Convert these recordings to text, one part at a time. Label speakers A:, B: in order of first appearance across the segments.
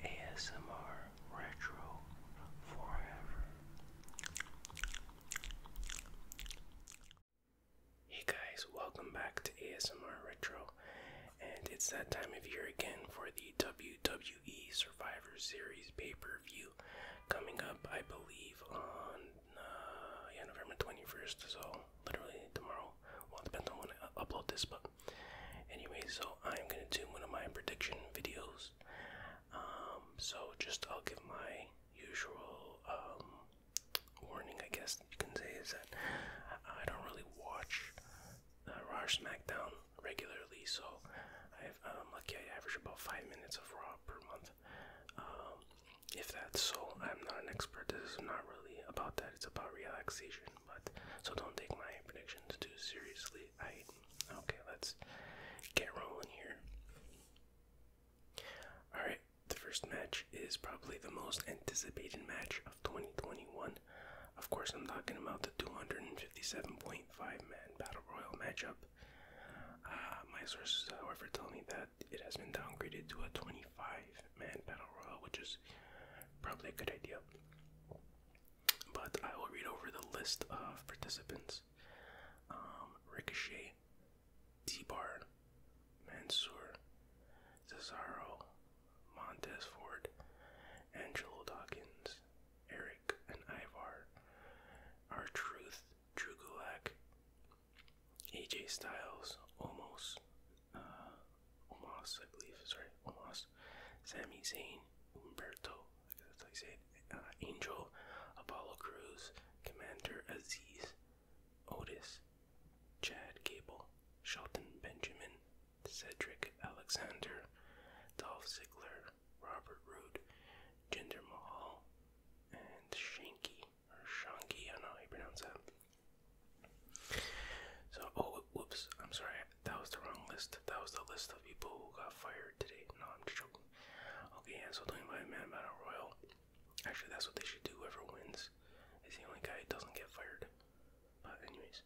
A: ASMR Retro Forever. Hey guys, welcome back to ASMR Retro, and it's that time of year again for the WWE Survivor Series pay per view coming up, I believe, on uh, November 21st, so literally tomorrow. Well, depends on when I upload this, but Anyway, so I'm gonna do one of my prediction videos. Um, so just I'll give my usual um, warning, I guess you can say, is that I don't really watch uh, Raw SmackDown regularly, so i am lucky I average about five minutes of Raw per month. Um, if that's so, I'm not an expert. This is not really about that. It's about relaxation but so don't take my predictions too seriously. I okay, let's get rolling here. Alright, the first match is probably the most anticipated match of 2021. Of course, I'm talking about the 257.5 man Battle Royal matchup. Uh, my sources, however, tell me that it has been downgraded to a 25 man battle royal, which is probably a good idea. But I will read over the list of participants um, Ricochet, T Bar, Mansoor, Cesaro, Montez Ford, Angelo Dawkins, Eric and Ivar, R Truth, Drew Gulak, AJ Styles, Almost. Uh, Omas, I believe. Sorry, Omas, Sami Zayn, Humberto, that's how you say it. Uh, Angel, Apollo Cruz, Commander Aziz, Otis, Chad Gable, Shelton Benjamin, Cedric Alexander, Dolph Ziggler, Robert Roode, Jinder Mahal, and Shanky, or Shanky, I don't know how you pronounce that. So, oh, whoops, I'm sorry, that was the wrong list. That was the list of people who got fired today. No, I'm just joking. Okay, yeah, so don't invite a about a royal. Actually, that's what they should do. Whoever wins is the only guy who doesn't get fired. But, anyways,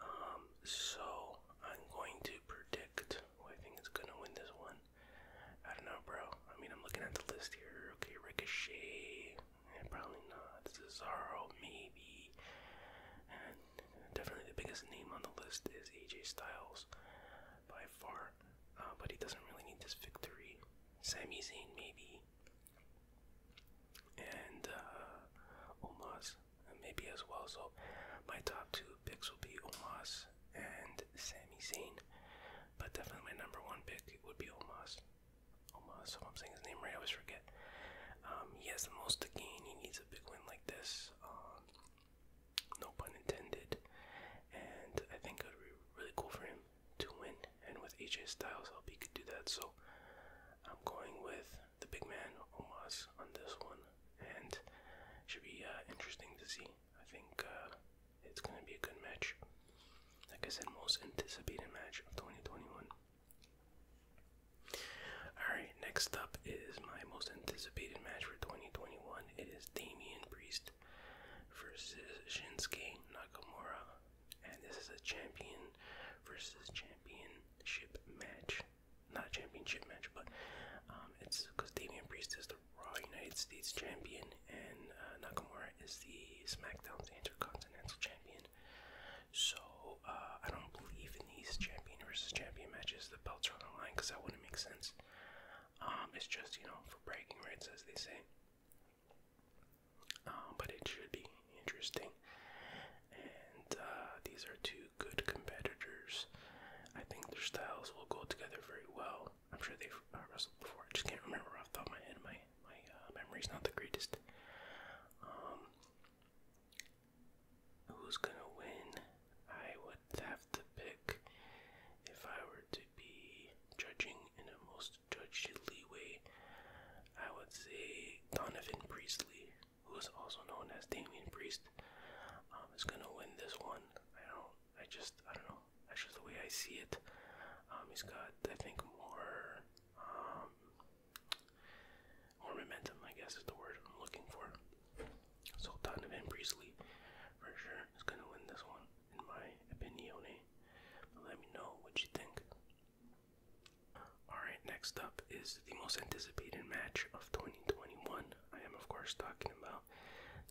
A: um, so I'm going to predict who I think is gonna win this one. I don't know, bro. I mean, I'm looking at the list here. Okay, Ricochet probably not. Cesaro, maybe. And definitely the biggest name on the list is AJ Styles by far. Uh, but he doesn't really need this victory. Sami Zayn, maybe. And Umaz, uh, Omos, maybe as well. So my top two picks will be Umaz and Sami Zayn. But definitely my number one pick would be Umaz. Omas, oh if I'm saying his name right, I always forget. Um, he has the most to gain. He needs a big win like this. Um, no pun intended. And I think it would be really cool for him to win. And with AJ Styles, I hope he could do that. So I'm going with the big man, Omas, on this one. And should be uh, interesting to see. I think uh, it's going to be a good match. Like I said, most anticipated match of 2021. Alright, next up is my most anticipated match for 2021. It is Damian Priest versus Shinsuke Nakamura. And this is a champion versus championship match. Not a championship match, but um, it's because Damian Priest is the Raw United States champion and uh, Nakamura is the SmackDown Intercontinental champion. So uh, I don't believe in these champion versus champion matches. The belts are on the line because that wouldn't make sense. Um, it's just you know for bragging rights, as they say. Um, but it should be interesting. And uh, these are two good competitors. I think their styles will go together very well. I'm sure they've uh, wrestled before. I just can't remember I thought my enemy my uh, memory's not the greatest. Um, who's gonna win? I would have to pick if I were to be judging in a most judgely leeway. I would say Donovan Priestley, who is also known as Damien Priest, um, is gonna win this one. I don't. I just. I don't know. That's just the way I see it. Um, he's got, I think, more um, ornamentum, I guess is the word I'm looking for. Sultan of Priestley, for sure, is gonna win this one, in my opinion. let me know what you think. Alright, next up is the most anticipated match of 2021. I am, of course, talking about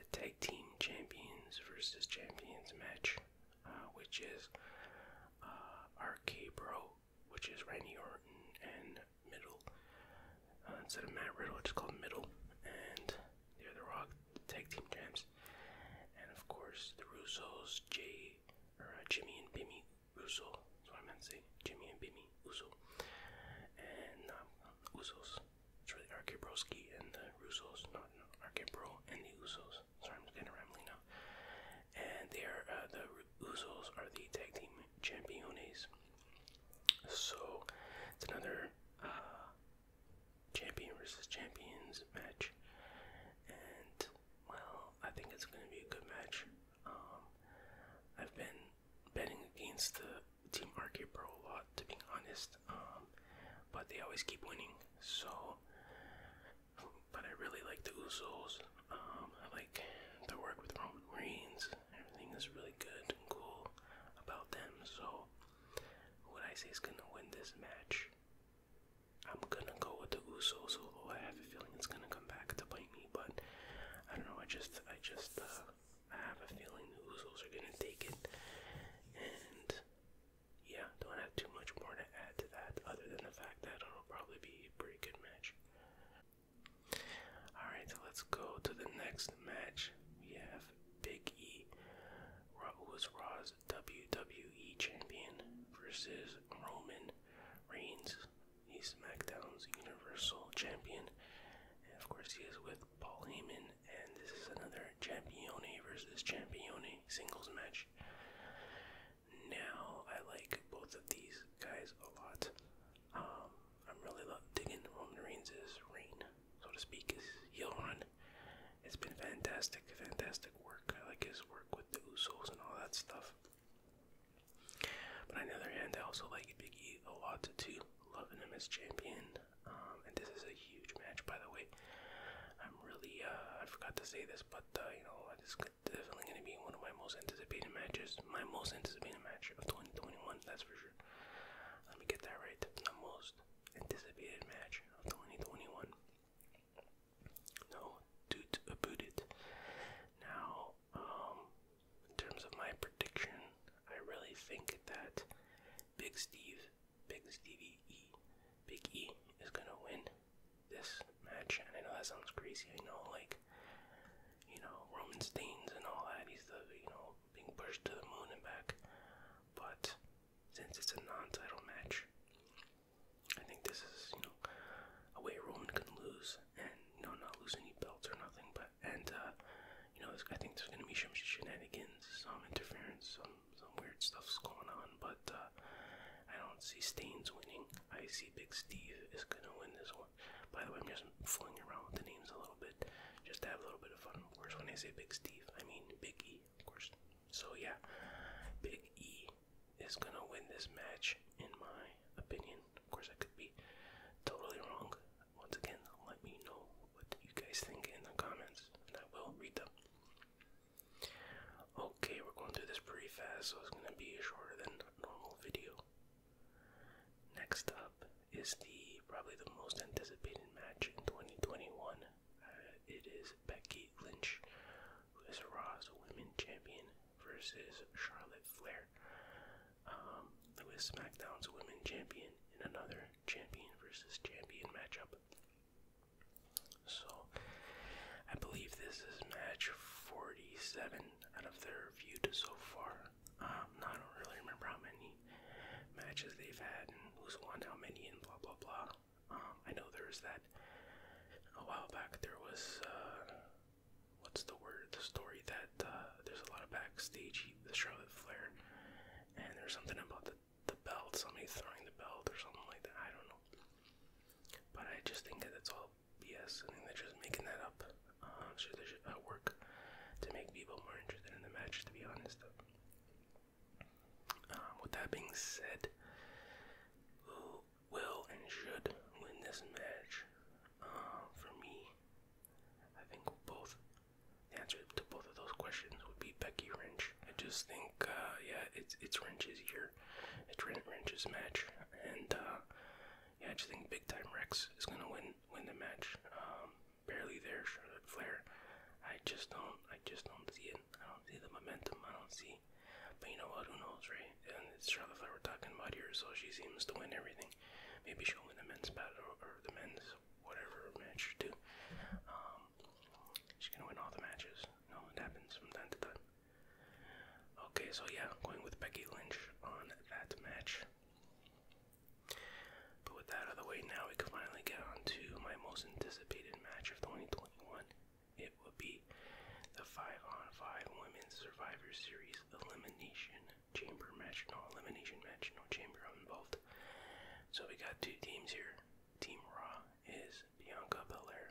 A: the Tag Team Champions versus Champions match uh, which is uh, RK which is Randy Orton and Middle. Uh, instead of Matt Riddle, it's called Middle, and they're the Rock Tag Team Champs. And of course, the Russos, Jay, or uh, Jimmy and Bimmy Russo. That's what I meant to say. Jimmy and Bimmy Uso, and um, It's really RK Broski and the Russos, not no, and the Usos. Sorry, I'm And they are uh, the Usos are the tag team champions. So it's another uh, champion versus champions match, and well, I think it's going to be a good match. Um, I've been betting against the Team Arcade Pro a lot, to be honest. Um, but they always keep winning, so but I really like the Usos. Um, I like their work with Roman Reigns. Everything is really good and cool about them. So, what I say is gonna win this match. I'm gonna go with the Usos, although I have a feeling it's gonna come back to bite me. But I don't know. I just, I just, uh, I have a feeling the Usos are gonna take it, and yeah, don't have too much more to add to that other than the fact that it'll probably be a pretty good match. Alright, so let's go to the next match. We have Big E, Raw was Raw's WWE champion, versus Roman Reigns. He's SmackDown's Universal Champion. And of course, he is with Paul Heyman, and this is another Champione versus Champione singles match. Now I like both of these guys a lot. Um, I'm really digging Roman Reigns' reign, so to speak, his heel run. It's been fantastic, fantastic work. I like his work with the Usos and all that stuff. But on the other hand, I also like Big E a lot too. Loving him as champion. Um, and this is a huge match, by the way. I'm really, uh, I forgot to say this, but uh, you know, it's definitely going to be one of my most anticipated matches. My most anticipated match of 2021, that's for sure. Let me get that right. The most anticipated match of 2021. No, dude, about it. Now, um, in terms of my prediction, I really think that Big Steve Big Stevie E, Big E is gonna win this match. And I know that sounds crazy. I know, like, you know, Roman Steins and all that. He's the, you know, being pushed to the moon and back. But since it's a non-title match, I think this is, you know, a way Roman can lose and, you not lose any belts or nothing. But and, uh, you know, I think there's gonna be some shenanigans, some interference, some some weird stuff's going on, but uh, I don't see Stains winning. I see Big Steve is gonna win this one. By the way, I'm just fooling around with the names a little bit, just to have a little bit of fun. Of course, when I say Big Steve, I mean Big E, of course. So yeah, Big E is gonna win this match, in my opinion. Of course, I could be totally wrong. Once again, let me know what you guys think in the comments, and I will read them. Okay, we're going through this pretty fast, so it's going to be shorter than normal video. Next up is the probably the most anticipated match in 2021. Uh, it is Becky Lynch, who is Raw's Women Champion, versus Charlotte Flair, um, who is SmackDown's Women Champion, in another champion versus champion matchup. So I believe this is match 47 out of their viewed so far. Um, I don't really remember how many matches they've had and who's won how many and blah blah blah. Um, I know there's that a while back. There was uh, what's the word? The story that uh, there's a lot of backstage The Charlotte Flair, and there's something about the the belt, somebody's throwing the belt or something like that. I don't know. But I just think that it's all BS. I think they're just making that up. Uh, so they should uh, work to make people more interested in the match, to be honest. Um, with that being said, who will and should win this match? Uh, for me, I think both the answer to both of those questions would be Becky Lynch. I just think, uh, yeah, it's it's Lynch's year, it's Lynch's match, and uh, yeah, I just think Big Time Rex is gonna win win the match. Um, barely there, Charlotte Flair. I just don't, I just don't see it. I don't see the momentum. I don't see. But you know what? Who knows, right? And it's Charlotte Flair we're talking about here, so she seems to win everything. Maybe she'll win the men's battle or, the men's whatever match too. Um, She's gonna win all the matches. No, it happens from time to time. Okay, so yeah, going with Becky Lynch on that match. But with that out of the way, now we can finally get on my most anticipated match of 2021. It will be the 5 on 5 Women's Survivor Series Elimination Chamber match. No, elimination match, no chamber involved. So we got two teams here Team Raw is Bianca Belair,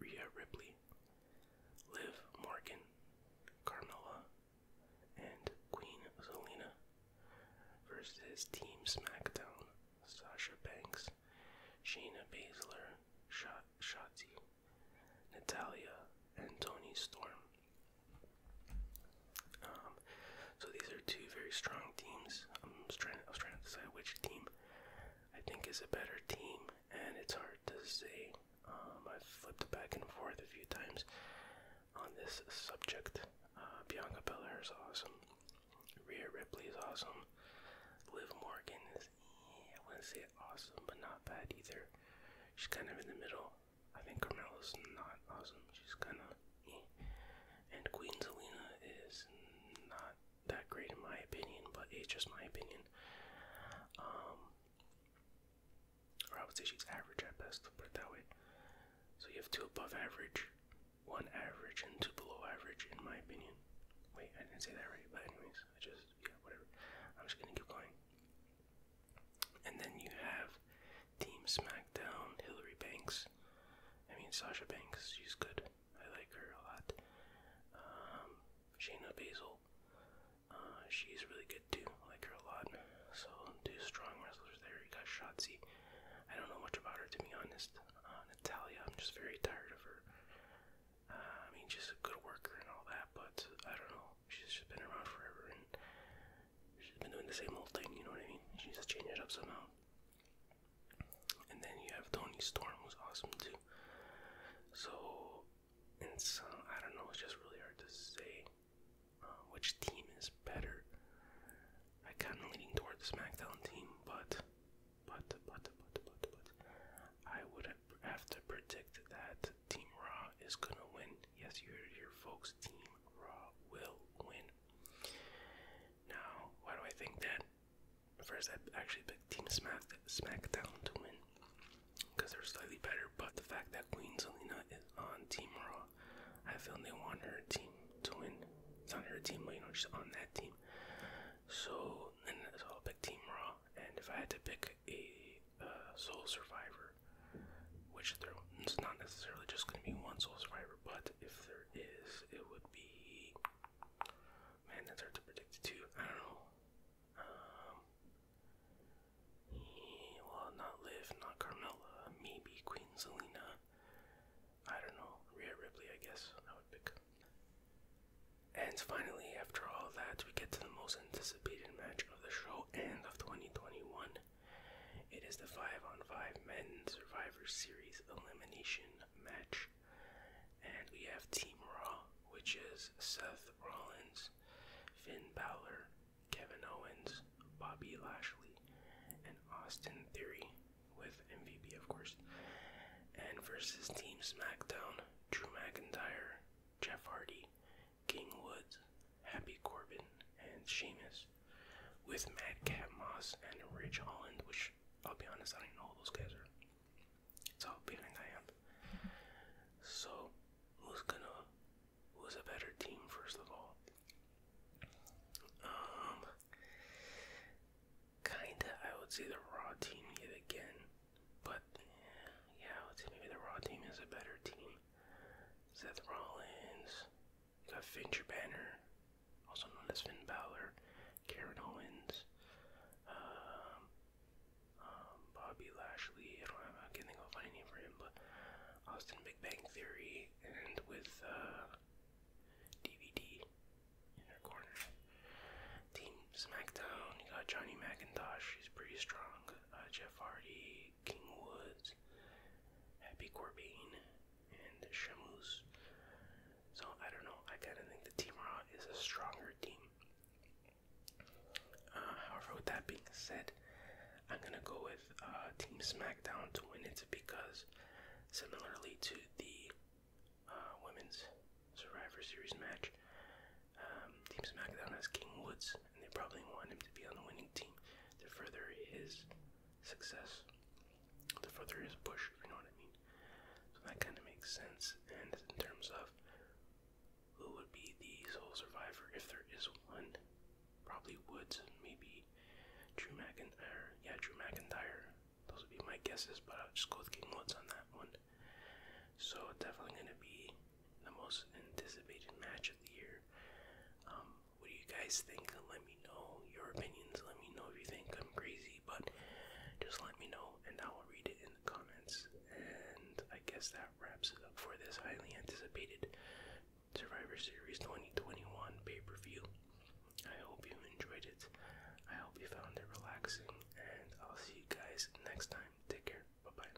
A: Rhea Ripley, Liv Morgan, Carmella, and Queen Zelina versus Team SmackDown, Sasha Banks, Shayna Baszler, Sh Natalia, and Tony Storm. Um, so these are two very strong teams. I'm just trying. I was trying to decide which team I think is a better team, and it's hard to say. Um, I've flipped back and forth a few times on this subject. Uh, Bianca Belair is awesome. Rhea Ripley is awesome. Liv Morgan is, I wouldn't say awesome, but not bad either. She's kind of in the middle. I think Carmella's not awesome. She's kind of And Queen Zelina is not that great in my opinion, but it's just my opinion. Um, or I would say she's average at best, put it that way. So you have two above average, one average, and two below average, in my opinion. Wait, I didn't say that right, but anyways, I just, yeah, whatever. I'm just gonna keep going. And then you have Team SmackDown, Hillary Banks. I mean, Sasha Banks, she's good. I like her a lot. Um, Shayna Baszler, uh, she's really good too. I like her a lot. So, two strong wrestlers there. You got Shotzi. I don't know much about her to be honest. Uh, Natalia, I'm just very tired of her. Uh, I mean, she's a good worker and all that, but I don't know. She's just been around forever, she's been doing the same old thing, you know what I mean? She just changed it up somehow. And then you have Tony Storm, who's awesome too. So, it's, uh, I don't know, it's just really hard to say uh, which team is better. I kind of leaning toward the SmackDown team, but, but, but, but, but, but, I would have to predict that Team Raw is gonna win Yes, your heard folks. Team Raw will win. Now, why do I think that? First, I actually picked Team Smack SmackDown to win because they're slightly better. But the fact that Queen Zelina is on Team Raw, I feel they want her team to win. It's on her team, but you know she's on that team. So, and I'll pick Team Raw. And if I had to pick a uh, survivor, which there's not necessarily just going to be one soul survivor, but if there is, it would be. Man, that's hard to predict it too. I don't know. Um, well, not Liv, not Carmella, maybe Queen Zelina. I don't know. Rhea Ripley, I guess. I would pick. And finally, after all that, we get to the most anticipated match of the show and of 2021. It is the 5 on 5 men Survivor Series elimination match. And we have Team Raw, which is Seth Rollins, Finn Balor, Kevin Owens, Bobby Lashley, and Austin Theory, with MVP, of course. And versus Team SmackDown, Drew McIntyre, Jeff Hardy, King Woods, Happy Corbin, and Sheamus, with Madcap Moss and Rich Holland, which I'll be honest, I don't know those guys are. how big I am. So, who's gonna, who's a better team, first of all? Um, kinda, I would say the Raw team yet again, but yeah, yeah I would say maybe the Raw team is a better team. Seth Rollins, you got Fincher Banner, also known as Finn Balor, Karen Owens, um, um Bobby Lashley. I don't have, I can't think of a for him, but Austin Big Bang Theory, and with uh, DVD in their corner. Team SmackDown. You got Johnny McIntosh. He's pretty strong. Uh, Jeff Hardy. King Woods, Happy Corbin, and Shamus. So I don't know. I kind of think the Team Raw is a stronger team. Uh, however, with that being said, I'm gonna go with uh, Team SmackDown to win it because, similarly to the uh, Women's Survivor Series match, um, Team SmackDown has King Woods and they probably want him to be on the winning team to further his success, to further his push. You know what I mean? So that kind of makes sense. And in terms of who would be the sole survivor if there is one, probably Woods, maybe Drew McIntyre. Yeah, Drew McIntyre. Those would be my guesses, but I'll just go with King Woods on that one. So definitely going to be the most anticipated match of the year. Um, what do you guys think? Let me know your opinions. Let me know if you think I'm crazy, but just let me know and I will read it in the comments. And I guess that wraps it up for this highly anticipated Survivor Series 2021 pay per view. I hope you enjoyed it. I hope you found it relaxing, and I'll see you guys next time. Take care. Bye bye.